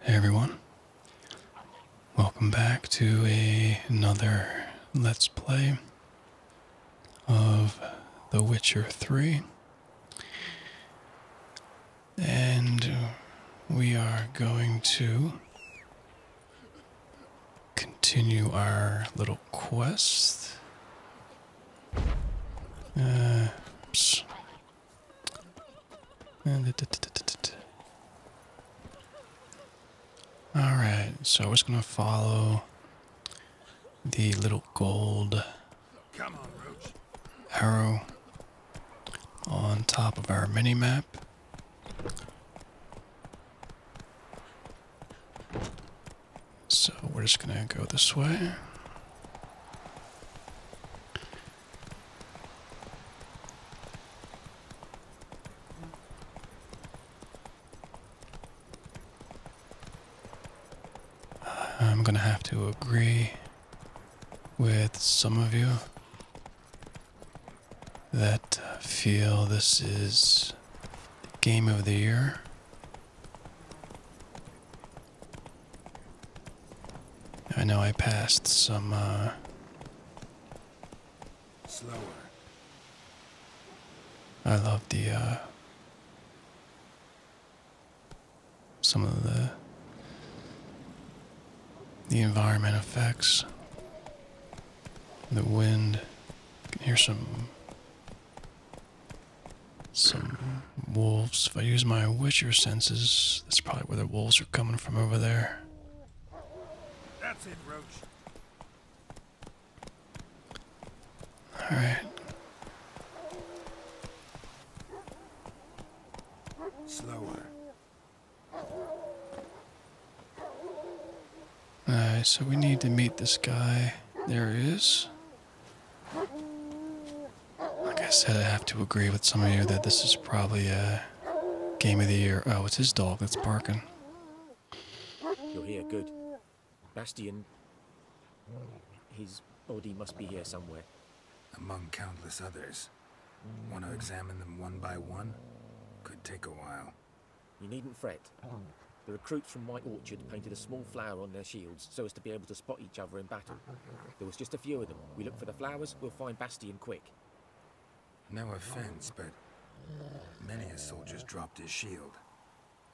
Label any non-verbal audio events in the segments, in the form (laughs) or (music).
Hey everyone, welcome back to another Let's Play of The Witcher 3. And we are going to continue our little quest uh, uh, Alright, so we're just gonna follow the little gold arrow on top of our mini map. So we're just gonna go this way. I'm gonna have to agree with some of you that uh, feel this is game of the year. I know I passed some, uh, Slower. I love the, uh, Some of the. The environment effects. The wind. can hear some some wolves. If I use my witcher senses, that's probably where the wolves are coming from over there. That's it, Roach. Alright. Slower. Alright, so we need to meet this guy. There he is. Like I said, I have to agree with some of you that this is probably a game of the year. Oh, it's his dog that's barking. You're here, good. Bastian, his body must be here somewhere. Among countless others. Want to examine them one by one? Could take a while. You needn't fret. The recruits from White Orchard painted a small flower on their shields so as to be able to spot each other in battle. There was just a few of them. We look for the flowers, we'll find Bastian quick. No offense, but many a soldier's dropped his shield.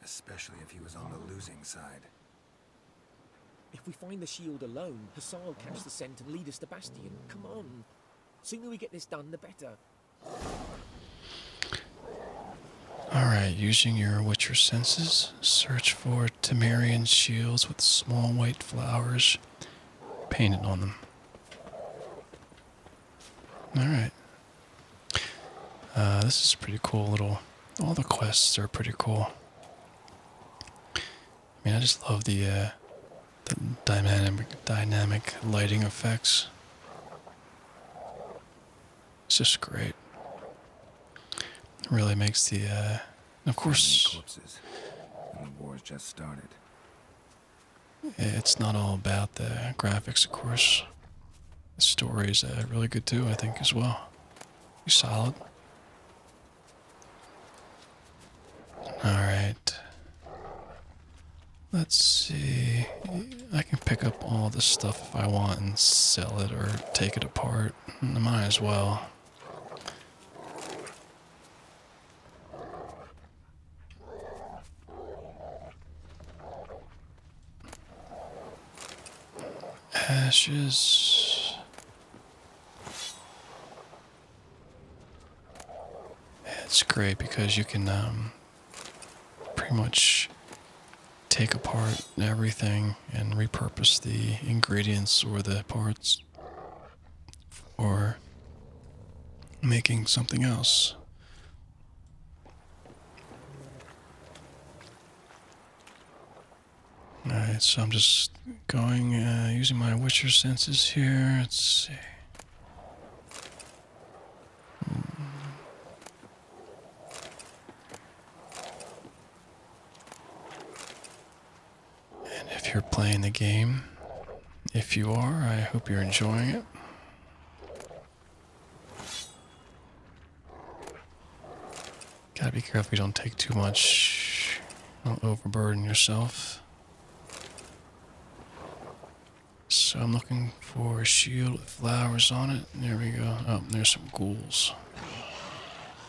Especially if he was on the losing side. If we find the shield alone, Hassan will catch the scent and lead us to Bastian. Come on. Sooner we get this done, the better. Alright, using your Witcher senses. Search for Temerian shields with small white flowers painted on them. Alright. Uh, this is pretty cool little. All the quests are pretty cool. I mean, I just love the, uh, the dynamic, dynamic lighting effects. It's just great. It really makes the, uh, of course. It's not all about the graphics, of course. The story's uh, really good too, I think, as well. You solid. All right. Let's see. I can pick up all the stuff if I want and sell it or take it apart hurt. I might as well. Ashes. It's great because you can um, pretty much take apart everything and repurpose the ingredients or the parts for making something else. Alright, so I'm just going, uh, using my Witcher senses here. Let's see. Hmm. And if you're playing the game, if you are, I hope you're enjoying it. Gotta be careful we don't take too much, don't overburden yourself. So I'm looking for a shield with flowers on it. There we go. Oh, there's some ghouls.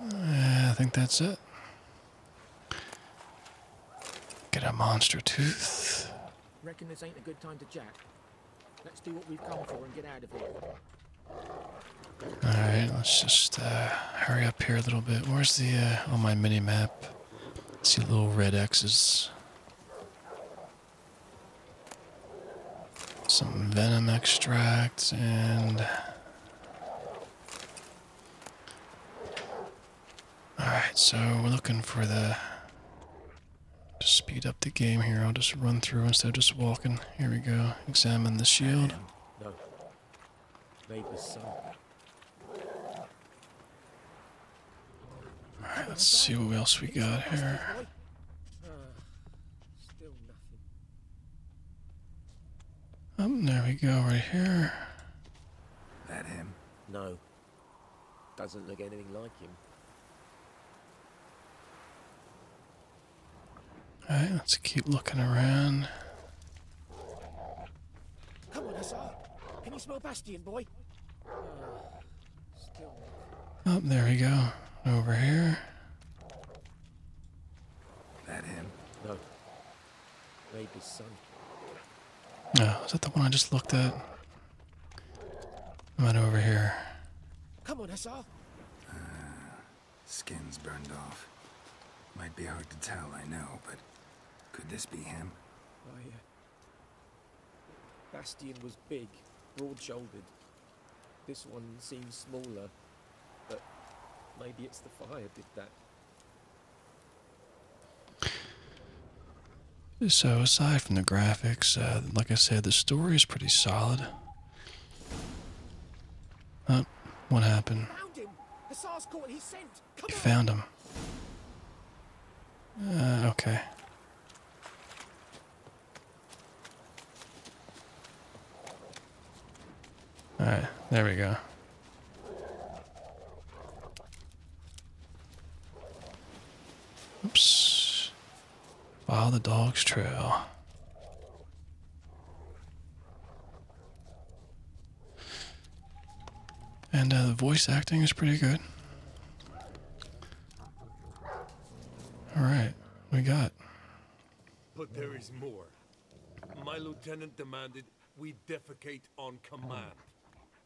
I think that's it. Get a monster tooth. Reckon this ain't a good time to jack. Let's do what we've come for and get out of here. Alright, let's just uh, hurry up here a little bit. Where's the, uh, on oh, my mini map? see little red X's some venom extracts and all right so we're looking for the to speed up the game here I'll just run through instead of just walking here we go examine the shield Alright, let's see what else we got here. Um, there we go, right here. That him? No. Doesn't look anything like him. Alright, let's keep looking around. Come on, Hussar. Can you smell Bastion, boy? Up oh, there we go. Over here. That him? No. Maybe son. No, is that the one I just looked at? right over here. Come on, Hassar. Uh, ah, skin's burned off. Might be hard to tell, I know, but could this be him? Oh, yeah. Bastian was big, broad-shouldered. This one seems smaller, but maybe it's the fire did that. So aside from the graphics, uh, like I said, the story is pretty solid. Uh, what happened? You found him. Uh, okay. Alright, there we go. Oops. Follow the dog's trail. And uh, the voice acting is pretty good. All right, we got. But there is more. My lieutenant demanded we defecate on command.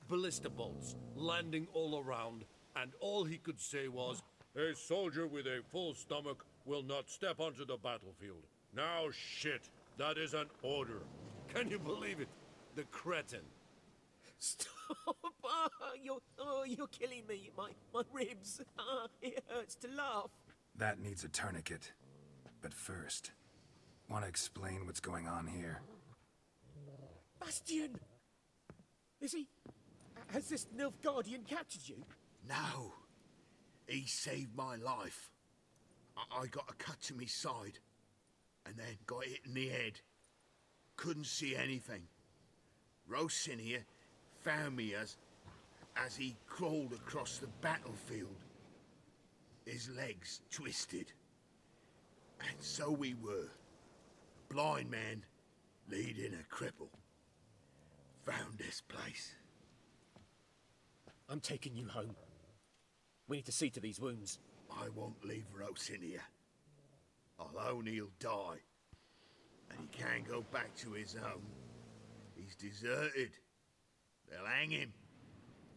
Ballista bolts landing all around, and all he could say was, "A soldier with a full stomach will not step onto the battlefield." Now, shit, that is an order. Can you believe it? The cretin. (laughs) Stop! Uh, you oh, you're killing me. My, my ribs. (laughs) Uh, it hurts to laugh. That needs a tourniquet. But first, want to explain what's going on here? Bastian, Is he... Has this Nilf Guardian captured you? No. He saved my life. I, got a cut to my side. And then got hit in the head. Couldn't see anything. Rose in here found me as, as he crawled across the battlefield. His legs twisted. And so we were. Blind man leading a cripple. Found this place. I'm taking you home. We need to see to these wounds. I won't leave Rose in here. I'll own he'll die. And he can't go back to his home. He's deserted. They'll hang him.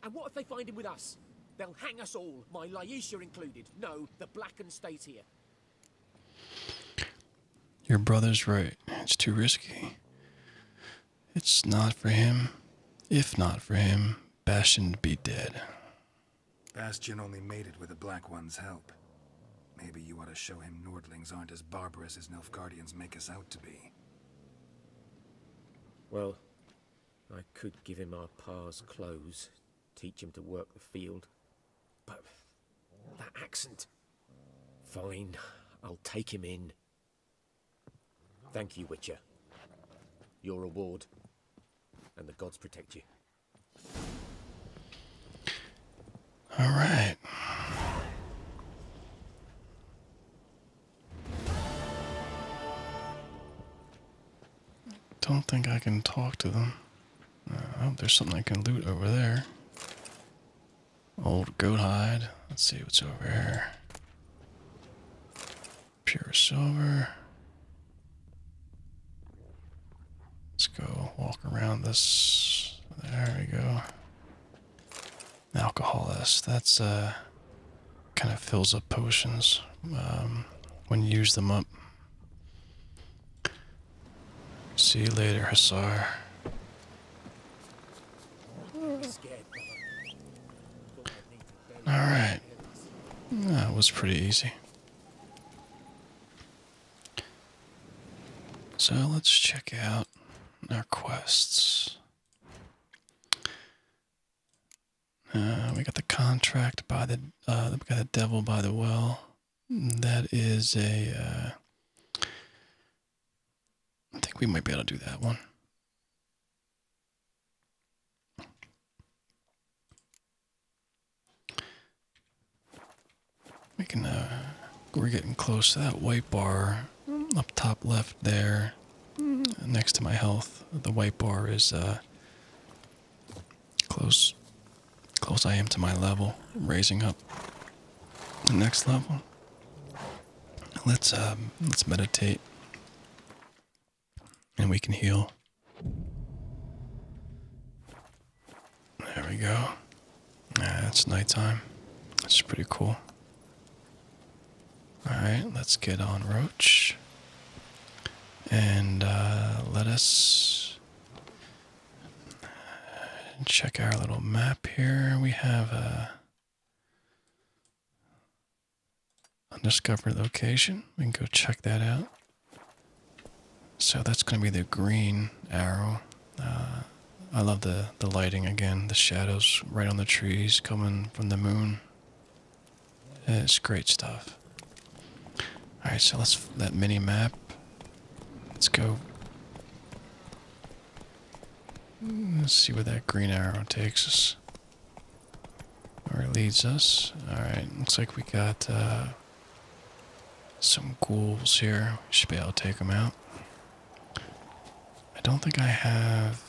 And what if they find him with us? They'll hang us all, my Laisha included. No, the Blacken stays here. Your brother's right. It's too risky. It's not for him. If not for him, bashan would be dead. Bastion only made it with the Black One's help. Maybe you ought to show him Nordlings aren't as barbarous as Nilfgaardians make us out to be. Well, I could give him our pa's clothes, teach him to work the field. But that accent... Fine, I'll take him in. Thank you, Witcher. Your reward. And the gods protect you. All right. Don't think I can talk to them. Uh, there's something I can loot over there. Old goat hide. Let's see what's over here. Pure silver. Let's go walk around this. There we go. Alcoholist. That's uh, kind of fills up potions um, when you use them up. See you later, Hussar. Alright. That was pretty easy. So let's check out our quests. Uh, we got the contract by the uh, we got the devil by the well. That is a. Uh, I think we might be able to do that one. We can, uh, we're getting close to that white bar up top left there, uh, next to my health. The white bar is, uh, close, close I am to my level, raising up the next level. Let's, um, let's meditate and we can heal. There we go. Yeah, it's nighttime. It's pretty cool. Alright, let's get on Roach. And uh, let us check our little map here. We have a uh, undiscovered location. We can go check that out. So that's going to be the green arrow. Uh, I love the, the lighting again, the shadows right on the trees coming from the moon. It's great stuff. Alright, so let's that mini map. Let's go. Let's see where that green arrow takes us. Where it leads us. Alright, looks like we got uh, some ghouls here. Should be able to take them out. I don't think I have.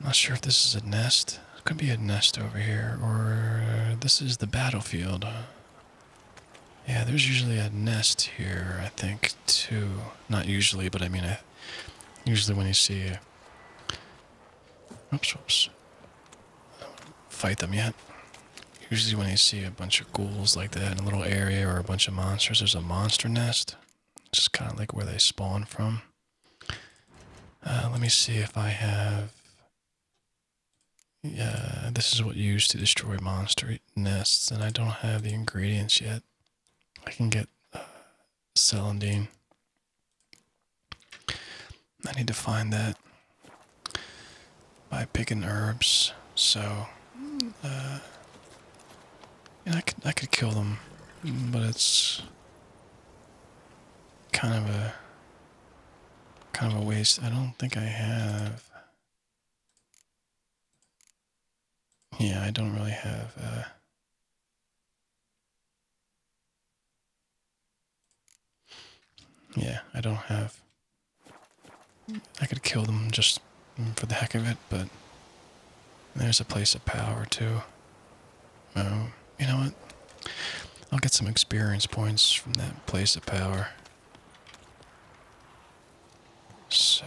not sure if this is a nest. could be a nest over here, or this is the battlefield. Yeah, there's usually a nest here, I think, too. Not usually, but I mean, usually when you see Oops, Fight them yet. Usually when you see a bunch of ghouls like that in a little area or a bunch of monsters, there's a monster nest. It's just kind of like where they spawn from. Uh, let me see if I have... Yeah, this is what used to destroy monster nests, and I don't have the ingredients yet. I can get uh, celandine. I need to find that by picking herbs. So, uh, yeah, I could I could kill them, but it's kind of a kind of a waste. I don't think I have. Yeah, I don't really have. Uh, yeah, I don't have. I could kill them just for the heck of it, but there's a place of power too. Oh, you know what? I'll get some experience points from that place of power. So.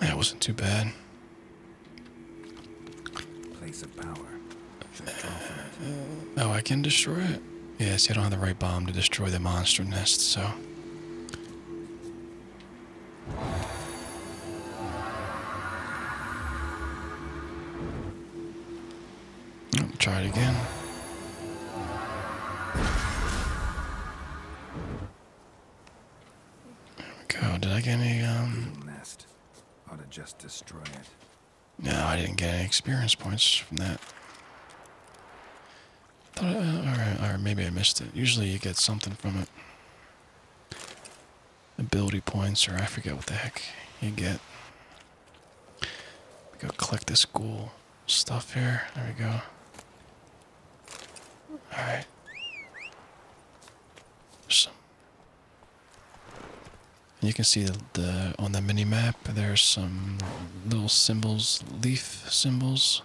That wasn't too bad. Place of power. Uh, oh, I can destroy it. Yeah, see, I don't have the right bomb to destroy the monster nest, so try it again. There we go. Did I get any? Um... No, I didn't get any experience points from that. Thought, or, uh, maybe I missed it. Usually you get something from it. Ability points, or I forget what the heck you get. go collect this ghoul stuff here. There we go. Alright. Some. you can see the, the on the mini map there's some little symbols, leaf symbols.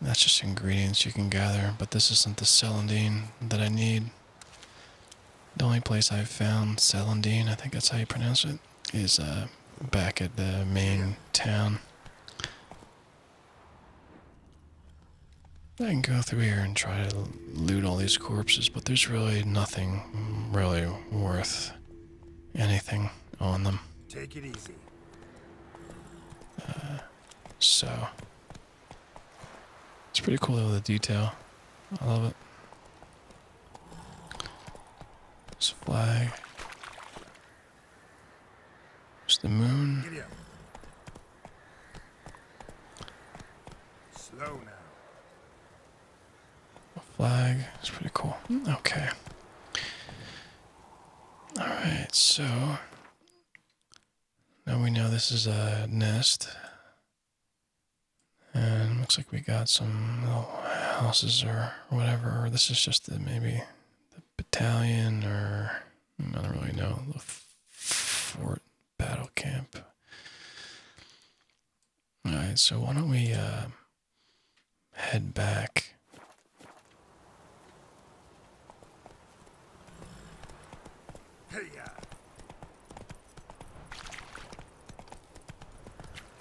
That's just ingredients you can gather, but this isn't the celandine that I need. The only place I've found celandine, I think that's how you pronounce it is uh, back at the main town. I can go through here and try to loot all these corpses, but there's really nothing really worth anything on them. Take it easy. Uh, so, it's pretty cool though, the detail. I love it. A flag. There's the moon. Slow now. flag. It's pretty cool. Hmm, okay. Alright, so now we know this is a nest. And looks like we got some little houses or whatever. This is just maybe the battalion or I don't really know the fort battle camp. All right, so why don't we uh, head back? Hey, uh,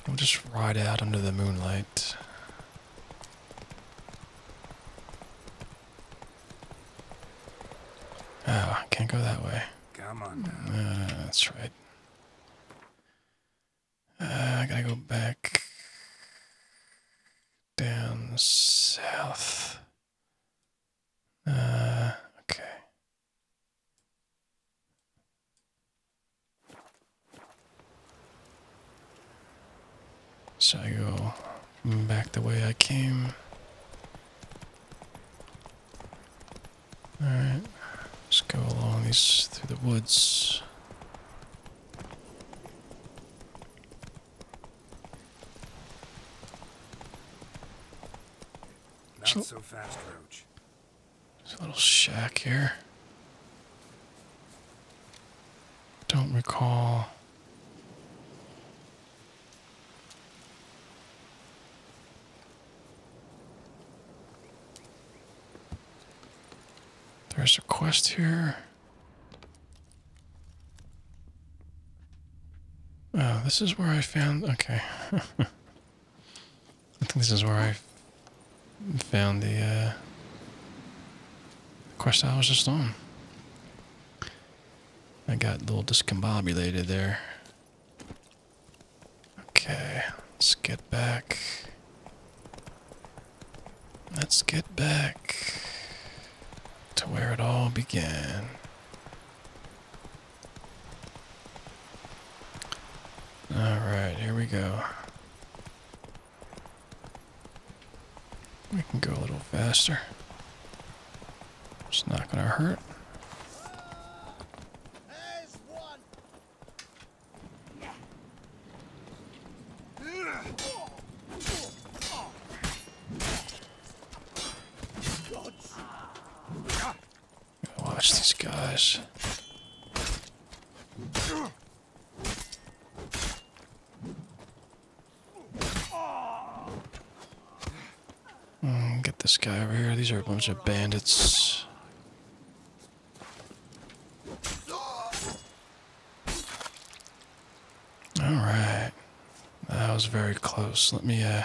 We'll just ride out under the moonlight. Ah, can't go that way. Come on ah, down. that's right. Uh, I gotta go back down south. Uh, okay. So I go back the way I came. Alright, let's go along these through the woods. Not so fast, Roach. There's a little shack here. Don't recall. There's a quest here. Oh, this is where I found. Okay. (laughs) I think this is where I found the uh, quest I was just on. I got a little discombobulated there. Okay, let's get back. Let's get back to where it all began. Alright, here we go. We can go a little faster. It's not gonna hurt. Watch these guys. Mm, get this guy over here. These are a bunch of bandits. Alright. That was very close. Let me, uh...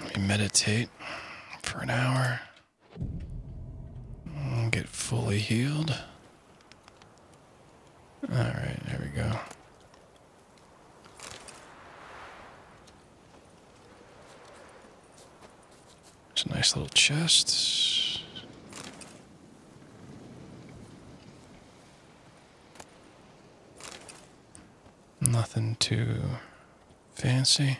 Let me meditate for an hour, get fully healed. All right, there we go. It's a nice little chest. Nothing too fancy.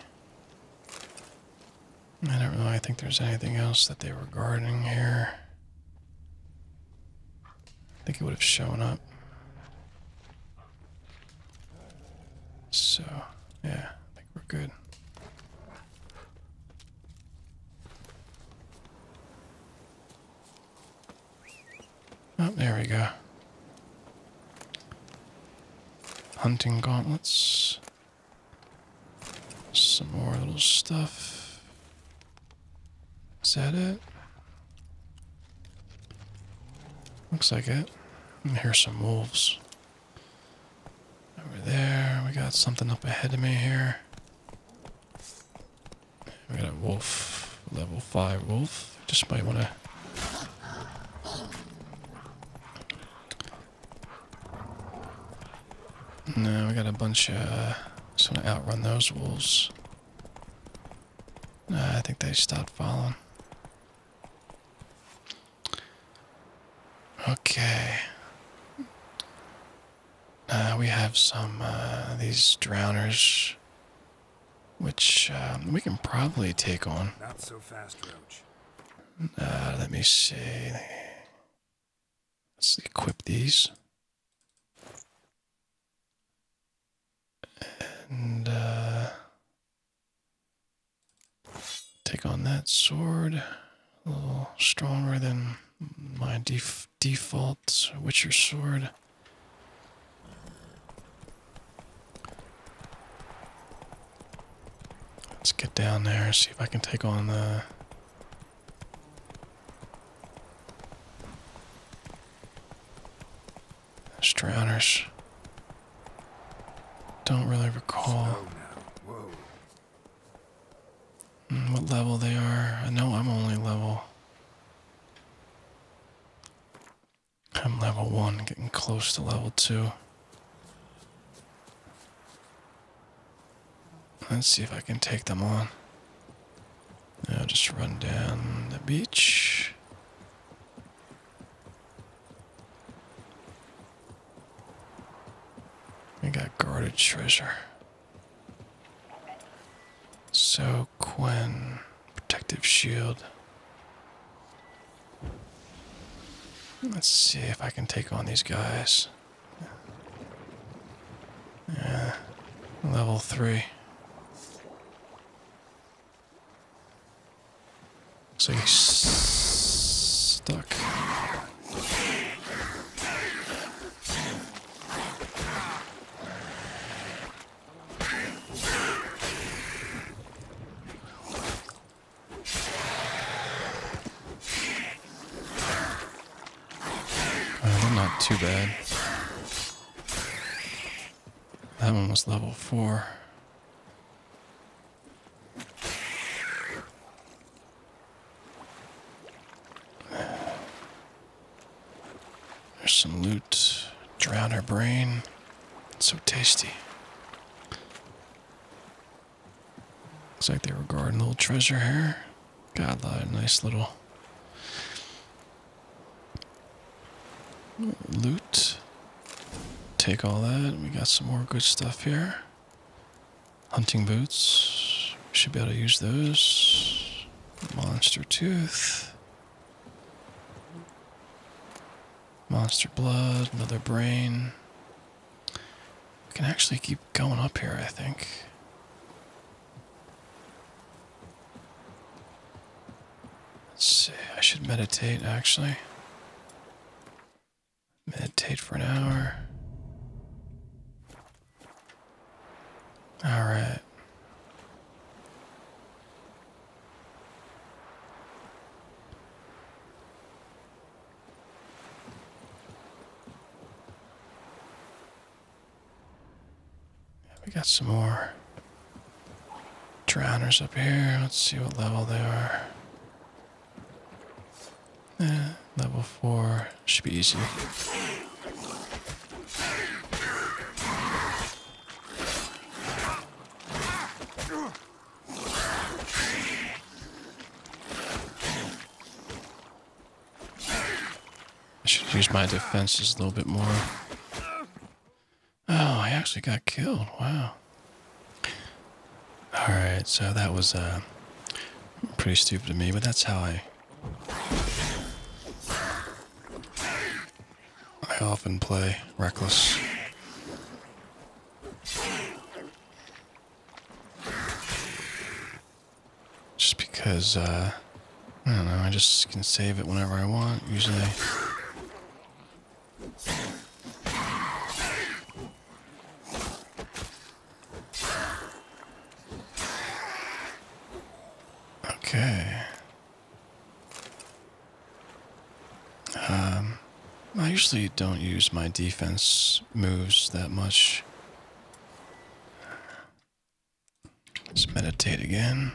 I don't know. I think there's anything else that they were guarding here. I think it would have shown up. So, yeah, I think we're good. Oh, there we go. Hunting gauntlets. Some more little stuff. Is that it? Looks like it. And here's some wolves. Over there, we got something up ahead of me here. We got a wolf, level 5 wolf. Just might want to there. No, we got a bunch of... Uh, just want to outrun those wolves. I think they stopped following. Okay. Uh, we have some, uh, these drowners which um, we can probably take on. Not so fast, Roach. Uh, let me see. Let's equip these. And uh, take on that sword. A little stronger than my def default Witcher sword. Let's get down there, see if I can take on uh, the... Those drowners. Don't really recall hmm, what level they are. I know I'm only level I'm level one, getting close to level two. Let's see if I can take them on. I'll just run down the beach. We got guarded treasure. So Quinn. Protective shield. Let's see if I can take on these guys. Yeah, level three. So he's stuck well, uh, not too bad. That one was level four. There's some loot. Drown her brain. It's so tasty. Looks like they were guarding a little treasure here. Got a nice little loot. Take all that. We got some more good stuff here. Hunting boots. Should be able to use those. Monster tooth. Monster blood, another brain. can actually keep going up here, I think. Let's see, I should meditate actually. Meditate for an hour. Alright. We got some more drowners up here. Let's see what level they are. Eh, level 4 should be easy. I should use my defenses a little bit more. Oh, I actually got killed. Wow. Alright, so that was uh, pretty stupid of me, but that's how I I often play reckless. Just because, uh, I don't know, I just can save it whenever I want, usually. Okay. Um, I usually don't use my defense moves that much. Let's meditate again.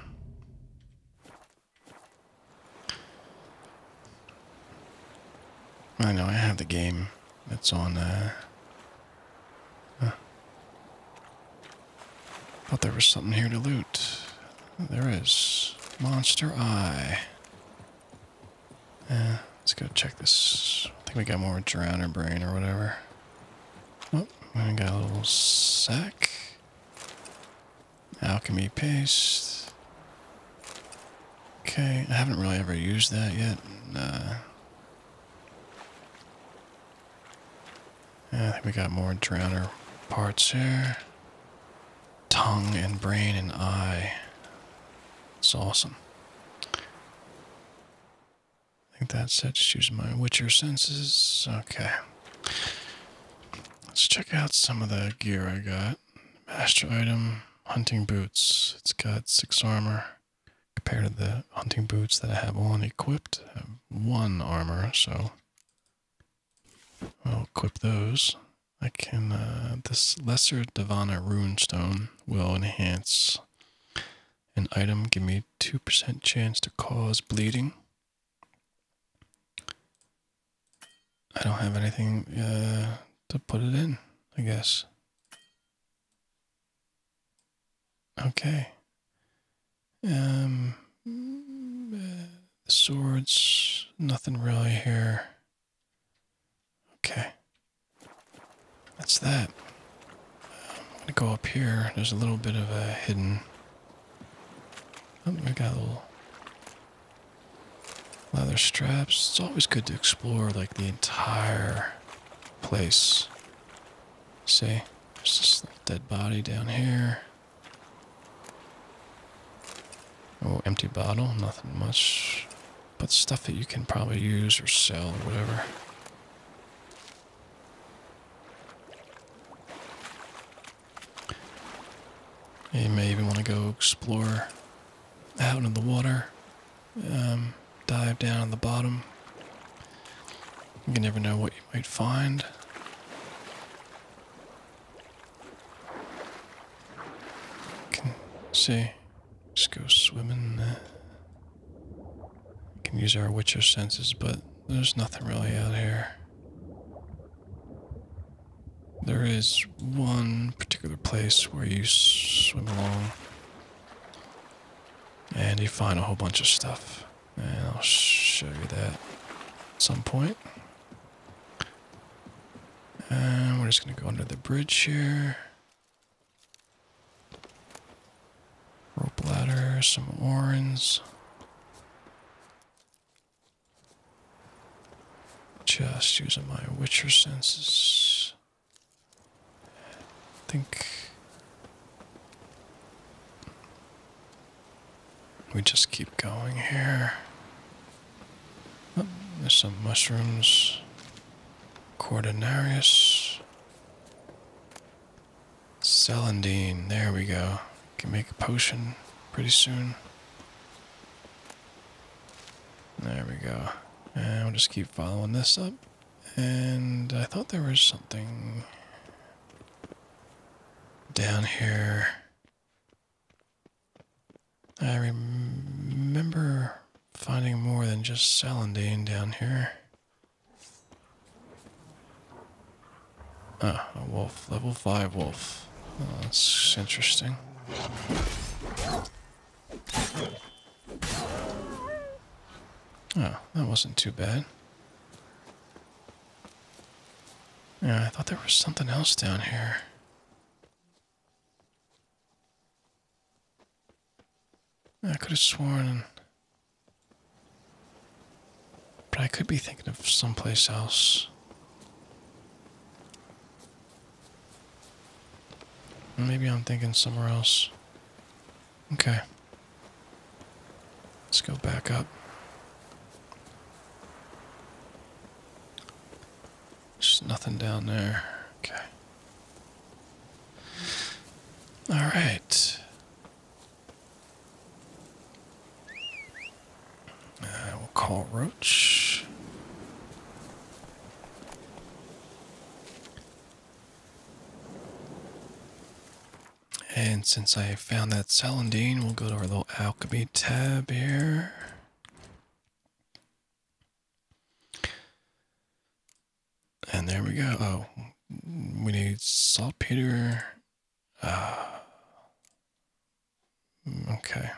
I know, I have the game It's on, uh... Huh. Thought there was something here to loot. There is Monster Eye. Eh, let's go check this. I think we got more drowner brain or whatever. Oh, we got a little sack. Alchemy paste. Okay, I haven't really ever used that yet. Yeah, eh, I think we got more drowner parts here tongue and brain and eye. It's awesome. I think that's it. Just use my Witcher senses. Okay. Let's check out some of the gear I got. Master item, hunting boots. It's got six armor compared to the hunting boots that I have on equipped. I have one armor, so I'll equip those. I can, uh, this Lesser Divana rune stone will enhance an item, give me 2% chance to cause bleeding. I don't have anything uh, to put it in, I guess. Okay. Um, swords, nothing really here. Okay. That's that. I'm gonna go up here. There's a little bit of a hidden. Oh, we got a little leather straps. It's always good to explore like the entire place. See, there's this dead body down here. Oh, empty bottle, nothing much. But stuff that you can probably use or sell or whatever. You may even want to go explore out into the water. Um, dive down on the bottom. You never know what you might find. Can see. Just go swimming. Uh, we can use our witcher senses, but there's nothing really out here. There is one particular place where you swim along and you find a whole bunch of stuff. And I'll show you that at some point we're just going to go under the bridge here. Rope ladder, some orange. Just using my witcher senses. think we just keep going here. Oh, there's some mushrooms. Cordinarius. Celandine. There we go. Can make a potion pretty soon. There we go. And we'll just keep following this up. And I thought there was something down here. I remember finding more than just Salandane down here. Ah, a wolf. Level 5 wolf. Oh, that's interesting. Oh, that wasn't too bad. Yeah, I thought there was something else down here. I could have sworn. But I could be thinking of someplace else. Maybe I'm thinking somewhere else. Okay. Let's go back up. There's nothing down there. Okay. All right. Uh, will call Roach. And since I found that celandine, we'll go to our little alchemy tab here. And there we go. Oh, we need saltpeter. Uh, okay.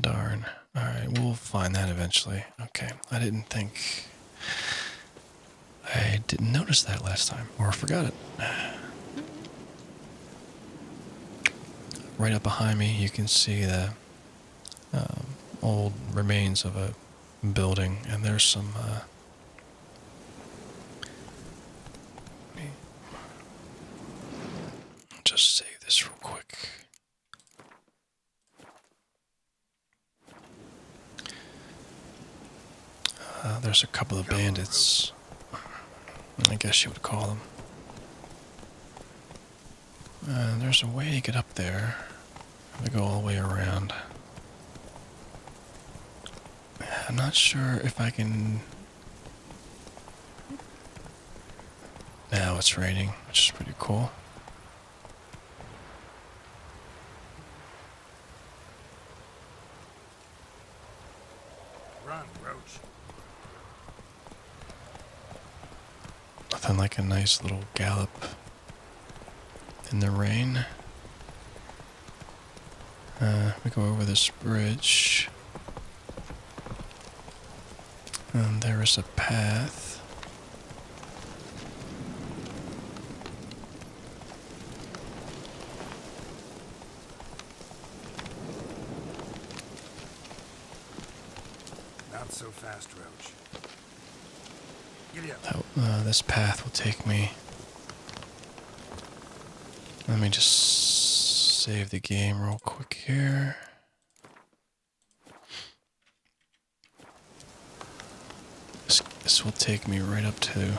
Darn. All right, we'll find that eventually. Okay, I didn't think. I didn't notice that last time, or forgot it. Right up behind me, you can see the um, old remains of a building, and there's some. Uh, just save this real quick. Uh, there's a couple of bandits. I guess you would call them. Uh, there's a way to get up there. We go all the way around. I'm not sure if I can... Now it's raining, which is pretty cool. Run, Roach. Nothing like a nice little gallop in the rain. Uh, we go over this bridge. And um, there is a path. Not so fast, Roach. That, uh, this path will take me. Let me just save the game real quick here. This, this will take me right up to.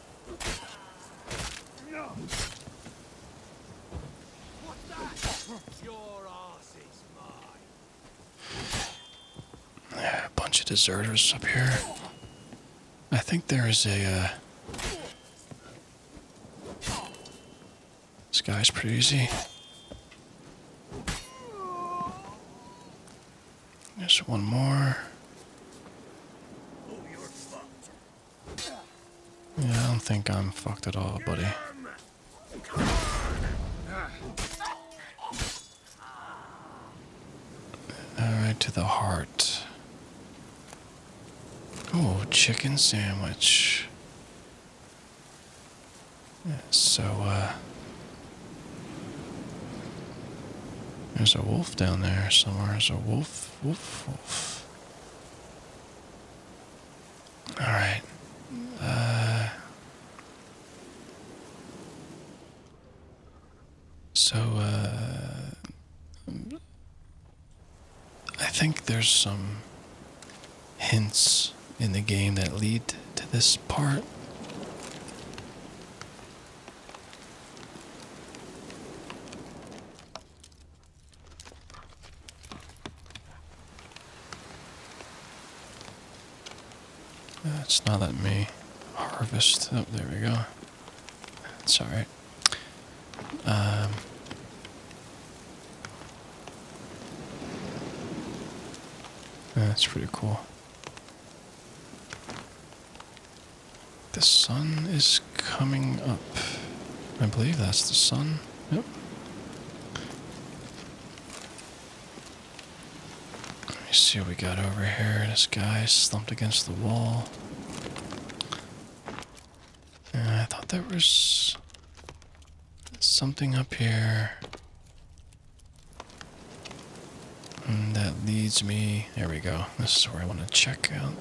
a bunch of deserters up here. I think there is a. Uh, this guy's pretty easy. Just one more. Yeah, I don't think I'm fucked at all, buddy. Alright, to the heart. Oh, chicken sandwich. so, uh... There's a wolf down there somewhere. There's a wolf, wolf, wolf. All right. Uh, so, uh, I think there's some hints in the game that lead to this part. It's not that me harvest. Oh, there we go. It's alright. Um, that's pretty cool. The sun is coming up. I believe that's the sun. Yep. Let me see what we got over here. This guy slumped against the wall. I thought there was something up here. And that leads me. There we go. This is where I want to check out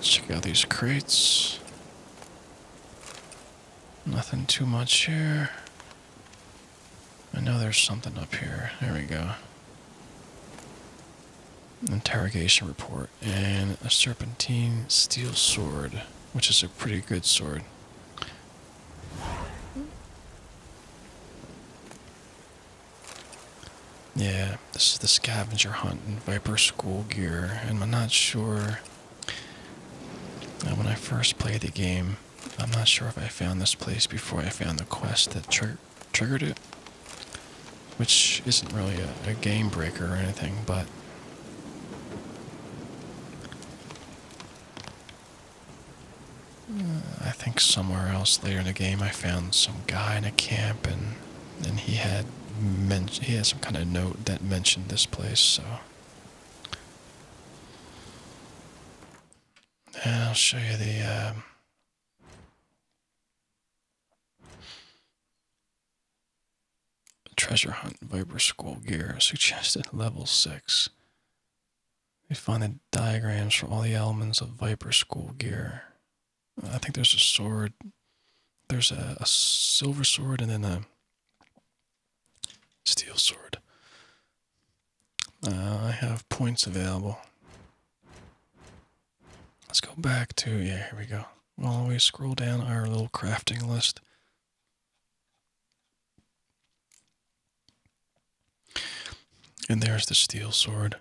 check out these crates. Nothing too much here. I know there's something up here. There we go. Interrogation report and a serpentine steel sword, which is a pretty good sword. Yeah, this is the scavenger hunt in Viper School Gear, I'm not sure. Uh, when I first played the game, I'm not sure if I found this place before I found the quest that triggered it, which isn't really a game breaker or anything, but I think somewhere else later in the game, I found some guy in a camp, and and he had men he had some kind of note that mentioned this place. So, and I'll show you the. Um, treasure hunt viper school gear suggested level 6 we find the diagrams for all the elements of Viper School gear. I think there's a sword. There's a, silver sword and then a steel sword. Uh, I have points available. Let's go back to, yeah, here we go. We'll always scroll down our little crafting list. And there's the steel sword.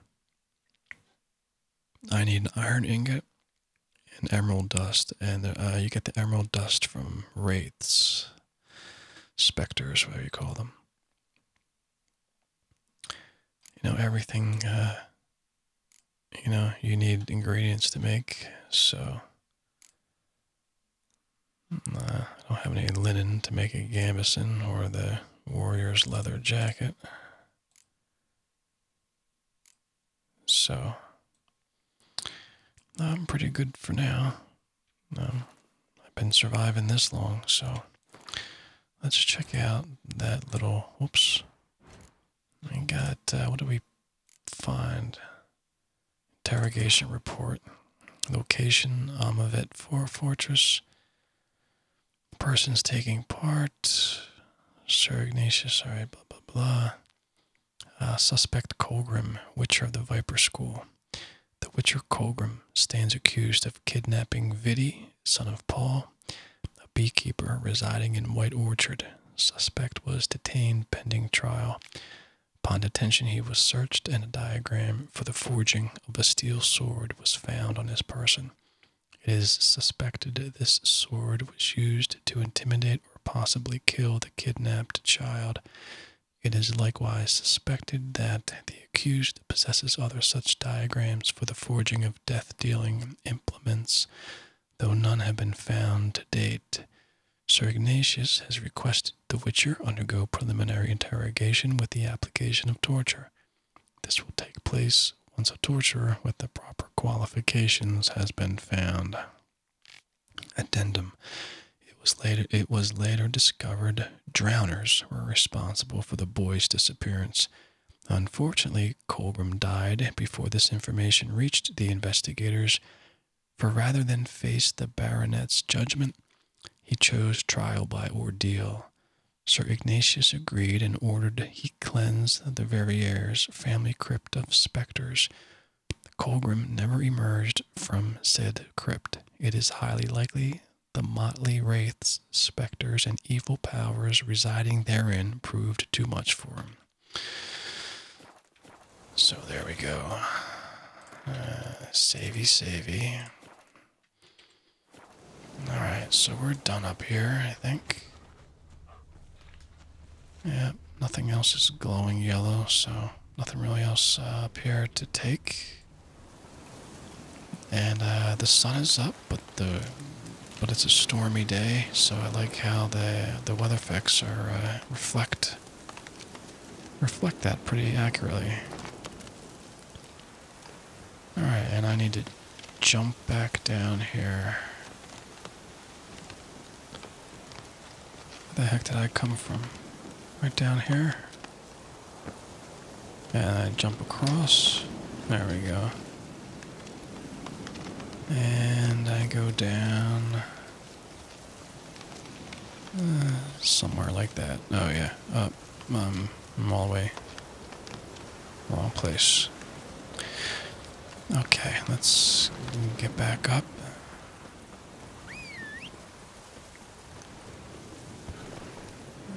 I need an iron ingot and emerald dust, and uh, you get the emerald dust from wraiths, specters, whatever you call them. You know, everything, uh, you know, you need ingredients to make, so I don't have any linen to make a gambeson or the warrior's leather jacket. So, I'm pretty good for now. Um, I've been surviving this long, so let's check out that little. Whoops. I got. Uh, what do we find? Interrogation report. Location Amavet um, 4 Fortress. Persons taking part. Sir Ignatius, alright, blah, blah, blah. Uh, suspect Colgrim, Witcher of the Viper School. The Witcher Colgrim stands accused of kidnapping Vidi, son of Paul, a beekeeper residing in White Orchard. Suspect was detained pending trial. Upon detention, he was searched, and a diagram for the forging of a steel sword was found on his person. It is suspected that this sword was used to intimidate or possibly kill the kidnapped child. It is likewise suspected that the accused possesses other such diagrams for the forging of death dealing implements, though none have been found to date. Sir Ignatius has requested the witcher undergo preliminary interrogation with the application of torture. This will take place once a torturer with the proper qualifications has been found. Addendum. It was later, it was later discovered drowners were responsible for the boy's disappearance. Unfortunately, Colbram died before this information reached the investigators, for rather than face the baronet's judgment, he chose trial by ordeal. Sir Ignatius agreed and ordered he cleanse the Verrieres family crypt of specters. The Colgrim never emerged from said crypt. It is highly likely the motley wraiths, specters, and evil powers residing therein proved too much for him. So there we go. Uh, savey, savey. Alright, so we're done up here, I think. Yeah, nothing else is glowing yellow, so nothing really else uh, up here to take. And uh, the sun is up, but the but it's a stormy day, so I like how the the weather effects are reflect reflect that pretty accurately. Alright, and I need to jump back down here. Where the heck did I come from? Right down here? And I jump across. There we go. And I go down somewhere like that. Oh, yeah. Up. Um, I'm all the way. Wrong place. Okay, let's get back up. There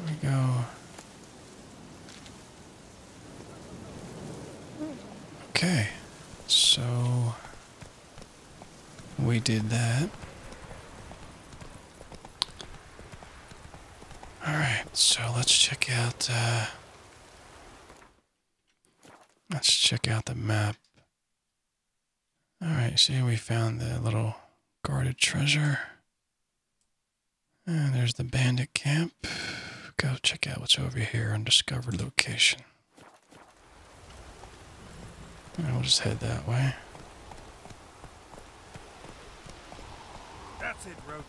we go. Okay, so we did that. Alright, so let's check out uh let's check out the map. Alright, see we found the little guarded treasure. And there's the bandit camp. Go check out what's over here, undiscovered location we'll just head that way. That's it, Roach.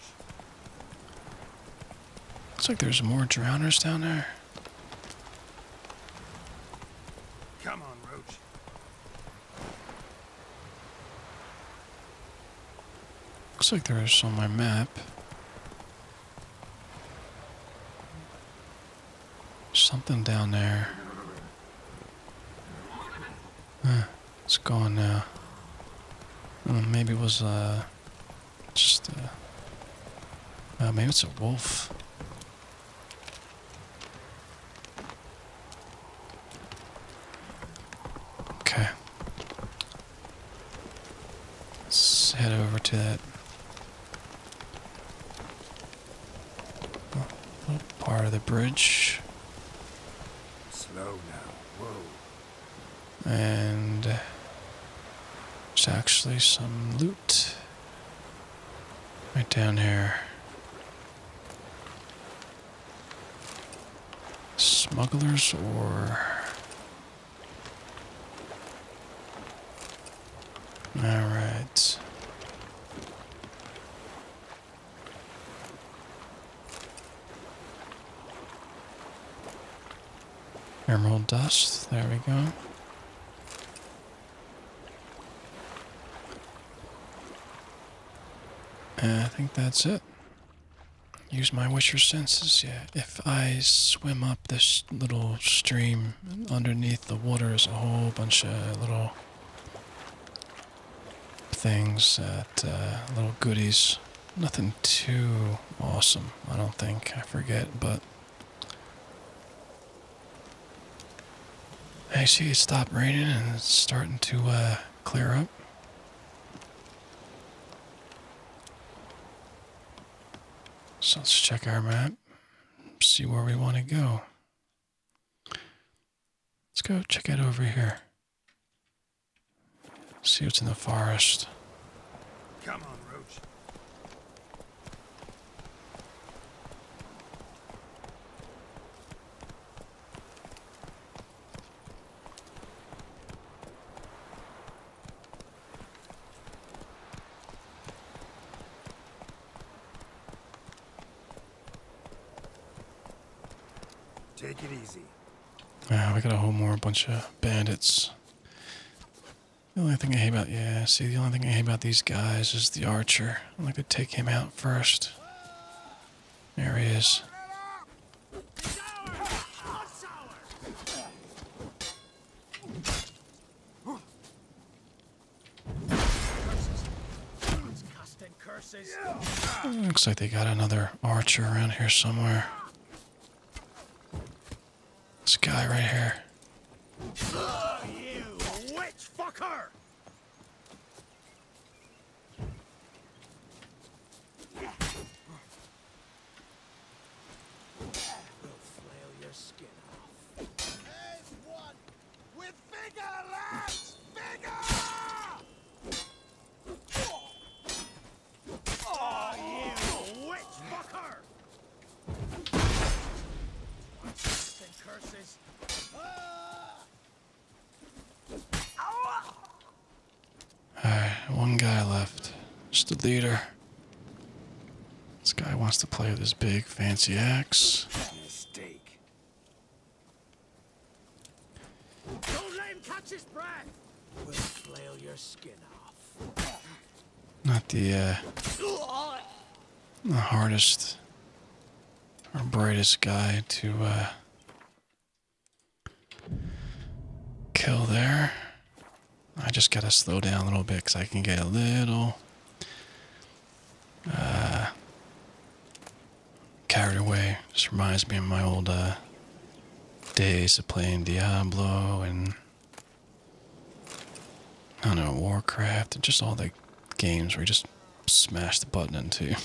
Looks like there's more drowners down there. Come on, Roach. Looks like there is on my map. Something down there. it's gone now. Hmm, maybe it was uh, just uh, oh, maybe it's a wolf. Okay. Let's head over to that part of the bridge? Slow now. Whoa. And there's actually some loot right down here. Smugglers or all right. Emerald dust, there we go. I think that's it. Use my wisher senses, yeah. If I swim up this little stream, underneath the water is a whole bunch of little things that uh, little goodies. Nothing too awesome, I don't think. I forget, but actually it stopped raining and it's starting to uh, clear up. So let's check our map, see where we want to go. Let's go check out over here. See what's in the forest. Come on, Roach. Take it easy. Yeah, we got a whole more bunch of bandits. The only thing I hate about yeah, see the only thing I hate about these guys is the archer. I'm gonna take him out first. There he is. Looks like they got another archer around here somewhere. This guy right here. With vigor, lads! Vigor! Oh, you witch fucker! What's and curses? Alright, one guy left. Just a leader. This guy wants to play with his big fancy axe. Don't let him catch his breath. We'll flail your skin off. Not the uh, the hardest or brightest guy to uh, kill there. I just gotta slow down a little bit because I can get a little uh, carried away. Just reminds me of my old uh, days of playing Diablo and I don't know Warcraft and just all the games where you just smash the button into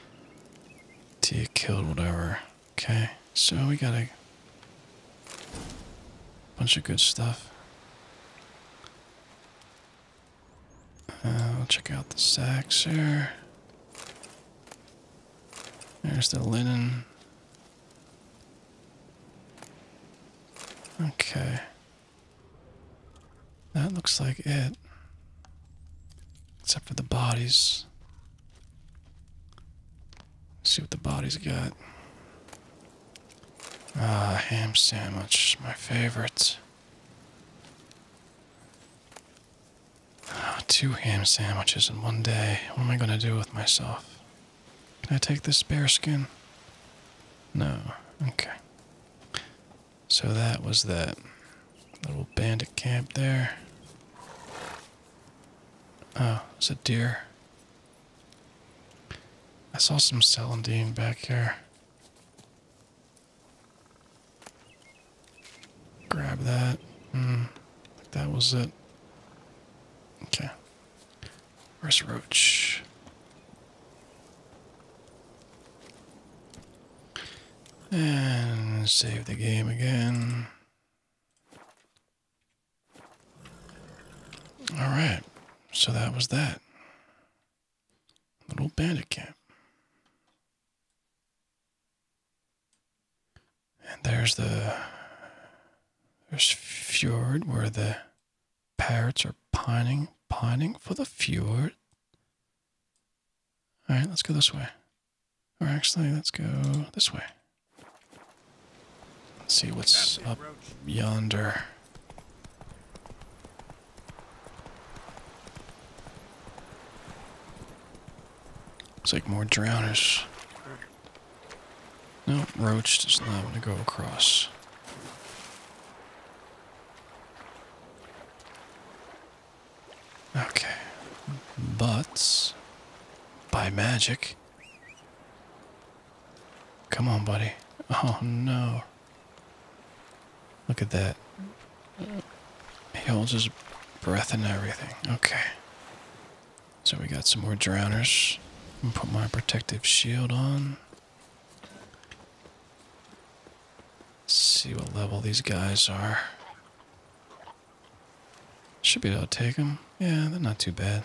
(laughs) till you killed whatever. Okay, so we got a bunch of good stuff. Uh, will check out the sacks here. There's the linen. Okay. That looks like it. Except for the bodies. see what the bodies got. Ah, ham sandwich, my favorite. Ah, two ham sandwiches in one day. What am I going to do with myself? Can I take this bear skin? No. Okay. So that was that little bandit camp there. Oh, it's a deer. I saw some celandine back here. Grab that. Hmm. that was it. Okay. Where's Roach? And save the game again. Alright, so that was that. Little bandit camp. And there's the there's fjord where the parrots are pining, pining for the fjord. All right, let's go this way. Or actually, let's go this way. Let's see what's up yonder. Looks like more drowners. No, Roach does not want to go across. Okay. buts by magic. Come on, buddy. Oh, no. Look at that. He holds his breath and everything. Okay. So we got some more drowners. I'm gonna put my protective shield on. see what level these guys are. Should be able to take them. Yeah, they're not too bad.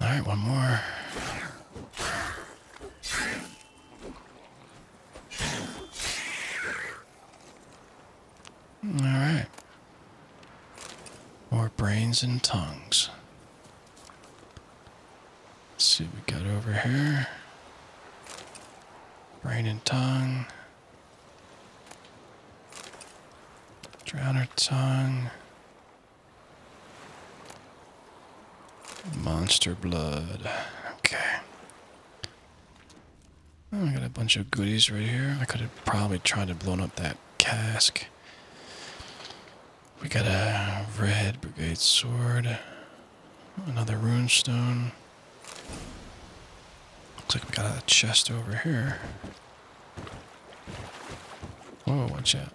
All right, one more. All right. More brains and tongues. see what we got over here. Brain and tongue. Drowner tongue. Monster blood. Okay. Oh, I got a bunch of goodies right here. I could have probably tried to blow up that cask. We got a red brigade sword. Another runestone. Looks like we got a chest over here. Whoa, watch out.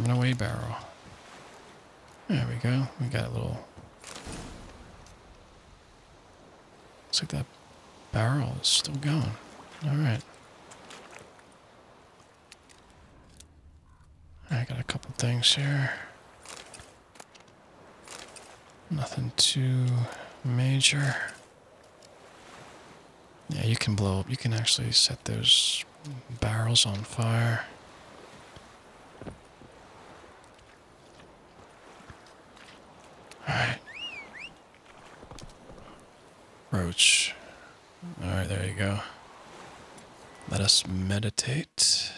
Run away barrel. There we go. We got a little... Looks like that barrel is still going. Alright. I got a couple things here. Nothing too major. Yeah, you can blow up. You can actually set those barrels on fire. Alright. Roach. Alright, there you go. Let us meditate.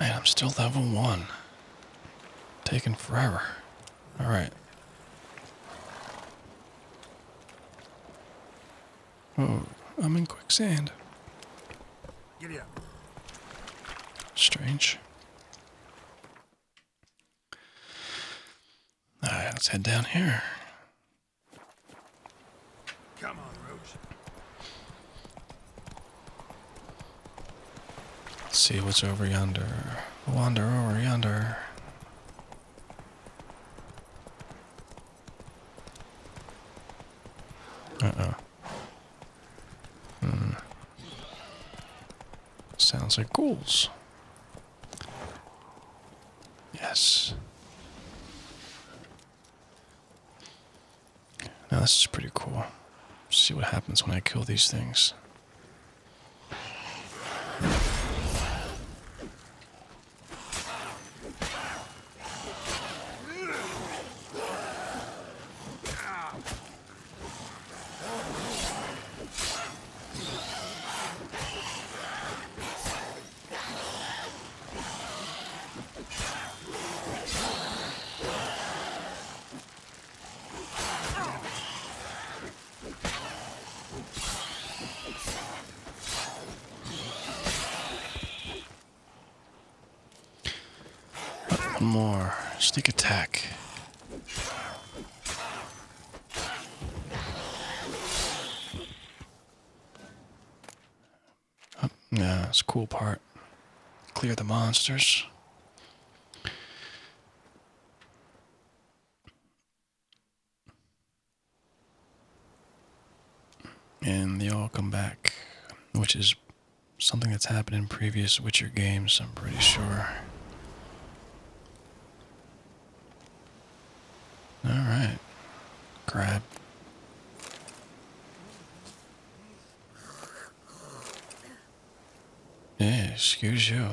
Man, I'm still level one. Taking forever. Alright. Oh, I'm in quicksand. Giddy Strange. Alright, let's head down here. Come on, Roach. Let's see what's over yonder. Wander over yonder. Uh-oh. Hmm. Sounds like ghouls. Yes. Now this is pretty cool. see what happens when I kill these things more. Sneak attack yeah, it's a cool part. Clear the monsters. And they all come back, which is something that's happened in previous Witcher games, I'm pretty sure. Alright. Grab. Yeah, excuse you.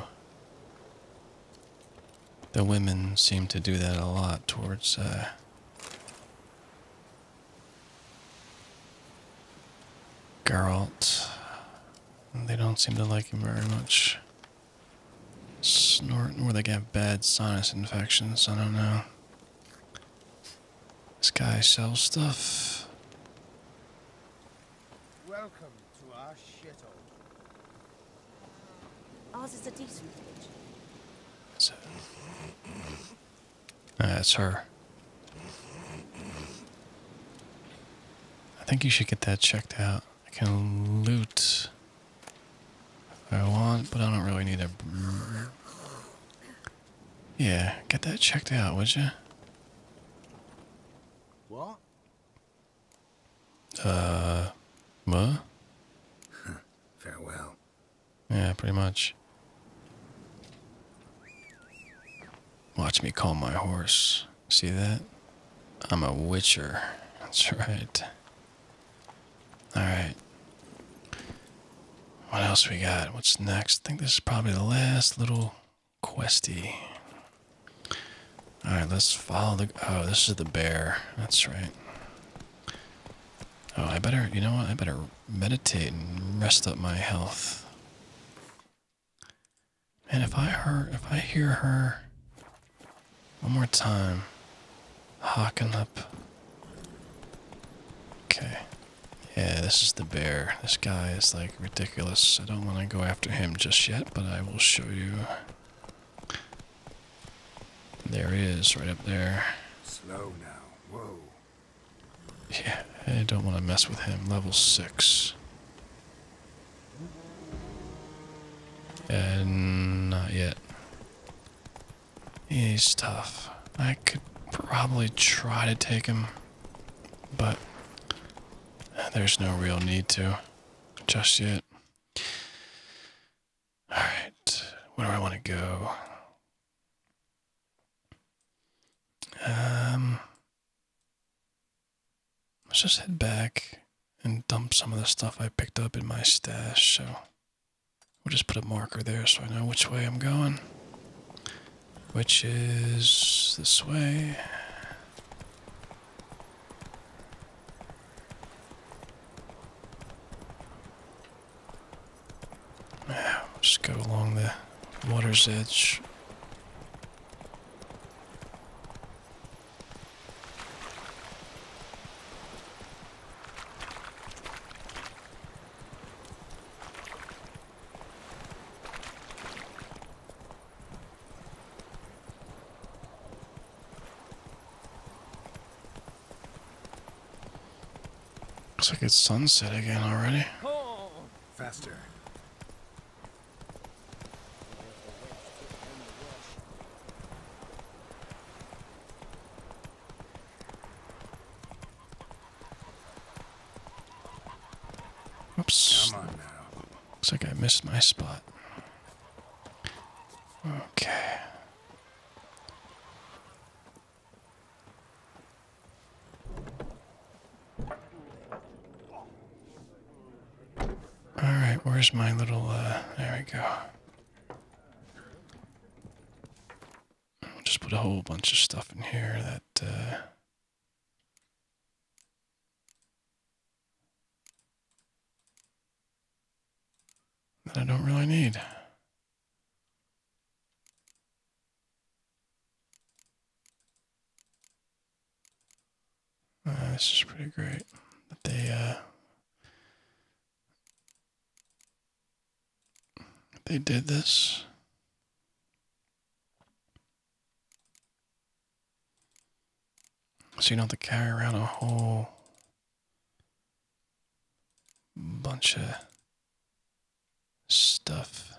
The women seem to do that a lot towards, uh, girls. They don't seem to like him very much. Snorting where they get bad sinus infections, I don't know. This guy sells stuff. Welcome to our shuttle. Ours is a decent village. that's her. I think you should get that checked out. I can loot if I want, but I don't really need a yeah, get that checked out, would you? What? Uh, what? Farewell. Yeah, pretty much. Watch me call my horse. See that? I'm a witcher. That's right. Alright. What else we got? What's next? I think this is probably the last little questy. Alright, let's follow the... Oh, this is the bear. That's right. Oh, I better... You know what? I better meditate and rest up my health. And if I hear If I hear her... One more time. Hawking up. Okay. Yeah, this is the bear. This guy is like ridiculous. I don't want to go after him just yet, but I will show you. There he is, right up there. Slow now. Whoa. Yeah, I don't want to mess with him. Level 6. And not yet. He's tough. I could probably try to take him but uh, there's no real need to just yet. Alright, where do I want to go? Um, let's just head back and dump some of the stuff I picked up in my stash. So we'll just put a marker there so I know which way I'm going which is this way. Yeah, just go along the water's edge. Looks like it's sunset again already. Faster. Oops. Looks like I missed my spot. Okay. Alright, where's my little, uh, there we go. just put a whole bunch of stuff in here that, uh, that I don't really need. Uh, this is pretty great that they uh, they did this. So you don't have to carry around a whole bunch of stuff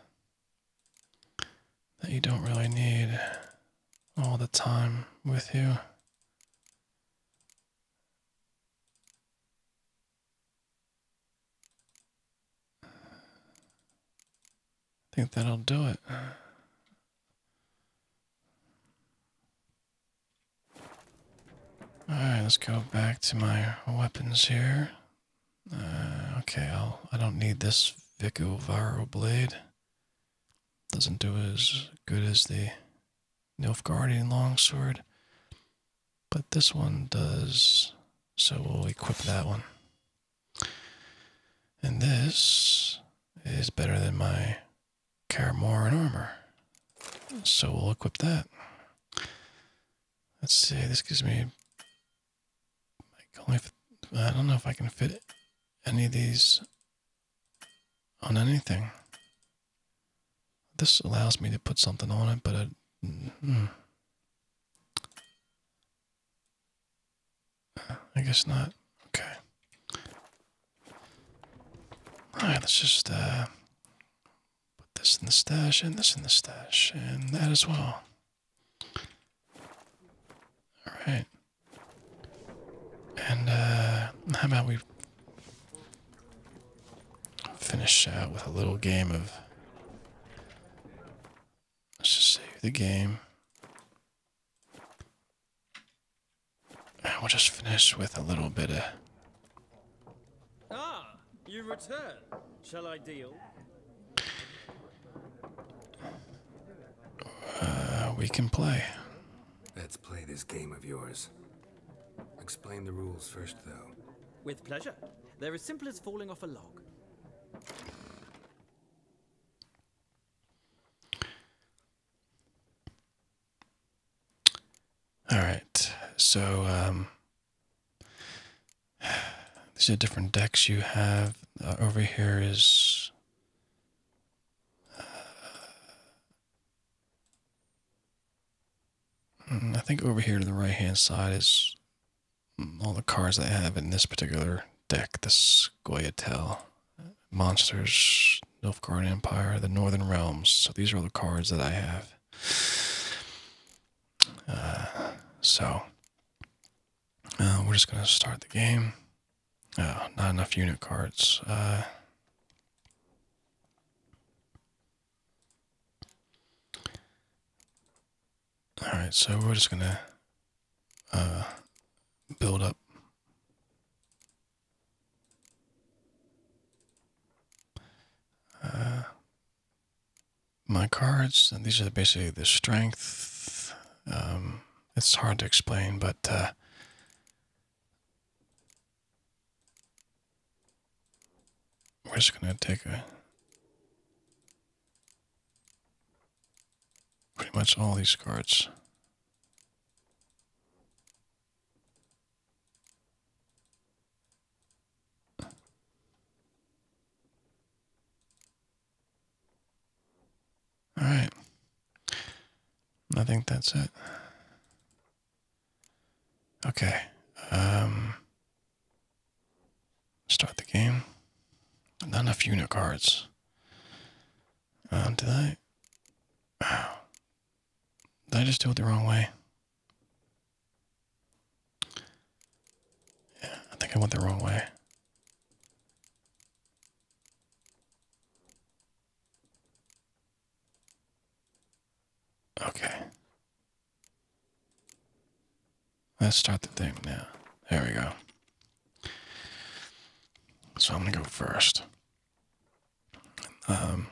that you don't really need all the time with you. I think that'll do it. Alright, let's go back to my weapons here. Uh, okay, I'll, I do not need this Vicovaro blade. Doesn't do as good as the Nilfgaardian longsword but this one does. So we'll equip that one. And this is better than my Karamoran armor. So we'll equip that. Let's see, this gives me like only I don't know if I can fit any of these on anything. This allows me to put something on it, but mm, mm. I guess not. Okay. Alright, let's just uh, put this in the stash, and this in the stash, and that as well. Alright. And uh, how about we finish out uh, with a little game of Let's just save the game. I will just finish with a little bit of. Ah, you return. Shall I deal? Uh, we can play. Let's play this game of yours. Explain the rules first, though. With pleasure. They're as simple as falling off a log. All right, so um, these are different decks you have. Uh, over here is uh, mm, I think over here to the right hand side is all the cards I have in this particular deck, this Goyatel, Monsters, Nilfgaard Empire, the Northern Realms. So these are all the cards that I have. Uh, so uh, we're just going to start the game. Oh, not enough unit cards. Alright, so we're just gonna uh, build up. Uh, my cards, and these are basically the strength. Um, it's hard to explain, but uh, we're just going to take a Pretty much all these cards. All right. I think that's it. Okay. Um, Start the game. Not enough unit cards. Um, did I? Did I just do it the wrong way? Yeah, I think I went the wrong way. Okay. Let's start the thing now. There we go. So I'm going to go first. Um,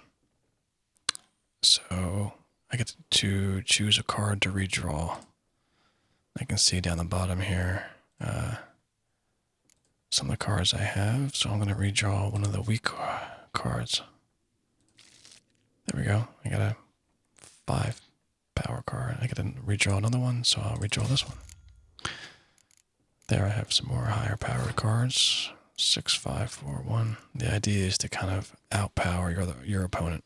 so I get to choose a card to redraw. I can see down the bottom here uh, some of the cards I have. So I'm going to redraw one of the weak cards. There we go. I got a five power card. I didn't redraw another one, so I'll redraw this one. There I have some more higher power cards. 6541. The idea is to kind of outpower your your opponent.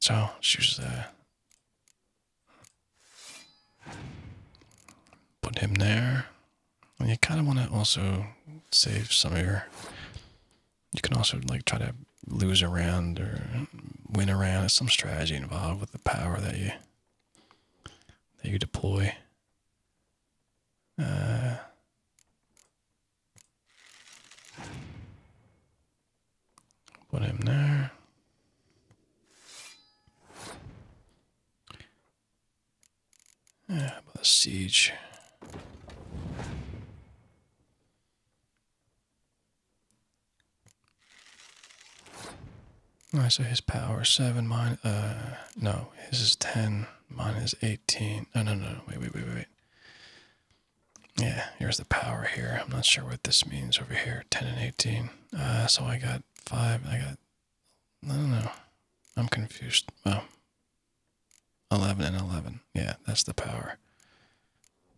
So, choose the uh, put him there. And you kind of want to also save some of your you can also like try to lose around or win around. There's some strategy involved with the power that you that you deploy. Uh, put him there. Yeah, uh, the siege. All right, so his power is 7, minus. uh, no, his is 10, mine is 18. No, no, no, wait, wait, wait, wait. Yeah, here's the power here. I'm not sure what this means over here, 10 and 18. Uh, so I got 5, I got, I don't know. I'm confused. Oh. 11 and 11. Yeah, that's the power.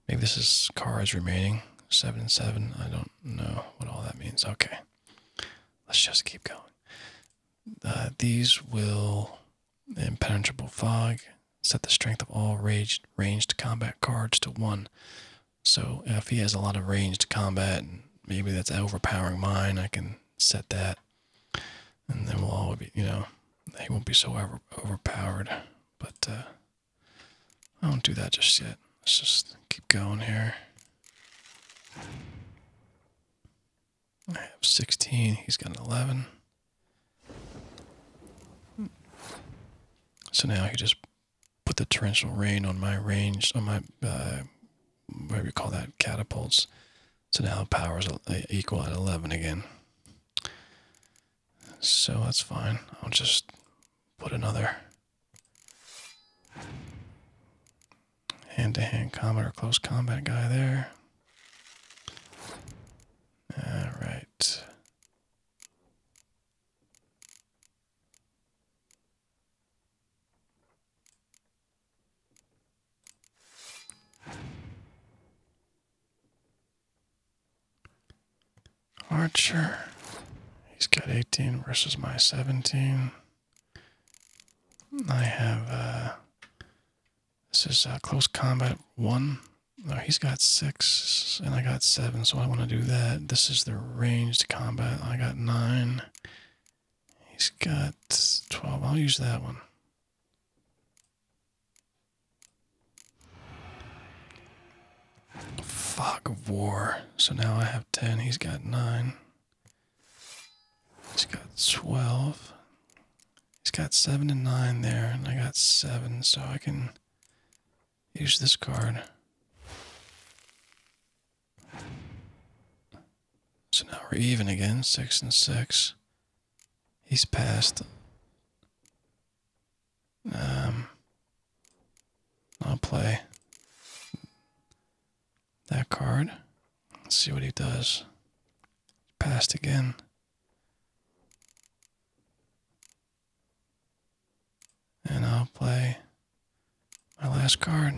Maybe this is cards remaining. 7 and 7. I don't know what all that means. Okay. Let's just keep going. Uh, these will impenetrable fog set the strength of all ranged, ranged combat cards to 1. So if he has a lot of ranged combat, and maybe that's overpowering mine, I can set that. And then we'll all be, you know, he won't be so overpowered. But uh, I don't do that just yet. Let's just keep going here. I have 16. He's got an 11. So now he just put the torrential rain on my range, on my, uh, do you call that, catapults. So now the power is uh, equal at 11 again. So that's fine. I'll just put another hand-to-hand -hand combat or close combat guy there. All right. Archer. He's got 18 versus my 17. I have, uh, this is uh, close combat one. No, he's got six, and I got seven, so I want to do that. This is the ranged combat. I got nine. He's got 12. I'll use that one. Fuck of War. So now I have 10. He's got 9. He's got 12. He's got 7 and 9 there, and I got 7, so I can use this card. So now we're even again, 6 and 6. He's passed. Um, I'll play that card. see what he does. Passed again. And I'll play my last card.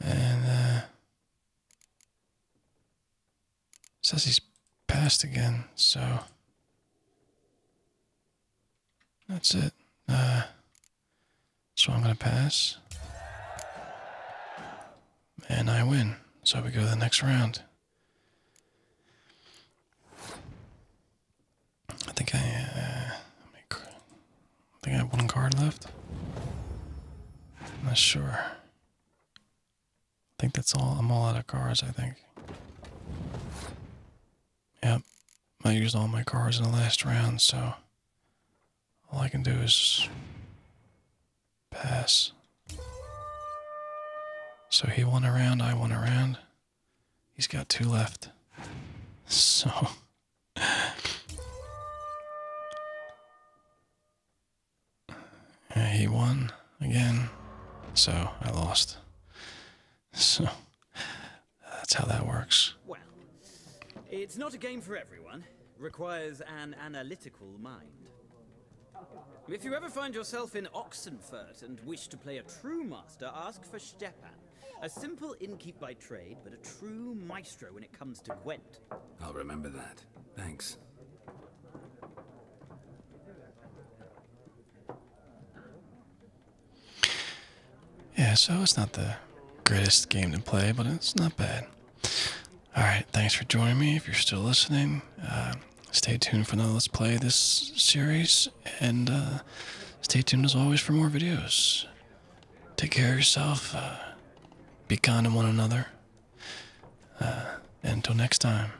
And uh, says he's passed again, so that's it. Uh, so I'm gonna pass, and I win. So we go to the next round. I think I uh, I think I have one card left. I'm not sure. I think that's all. I'm all out of cards, I think. Yep. I used all my cards in the last round, so all I can do is pass. So he won a round, I won a round. He's got two left. (laughs) So (sighs) he won again, so I lost. So that's how that works. Well, it's not a game for everyone. Requires an analytical mind. If you ever find yourself in Oxenfurt and wish to play a true master, ask for Stepan. A simple innkeep by trade, but a true maestro when it comes to Gwent. I'll remember that. Thanks. Yeah, so it's not the greatest game to play, but it's not bad. Alright, thanks for joining me. If you're still listening, uh, stay tuned for another Let's Play this series, and uh, stay tuned as always for more videos take care of yourself. Uh, be kind to one another. Uh, until next time,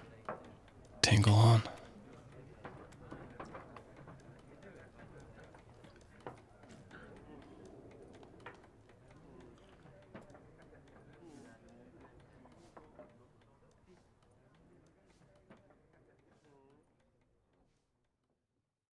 tingle on.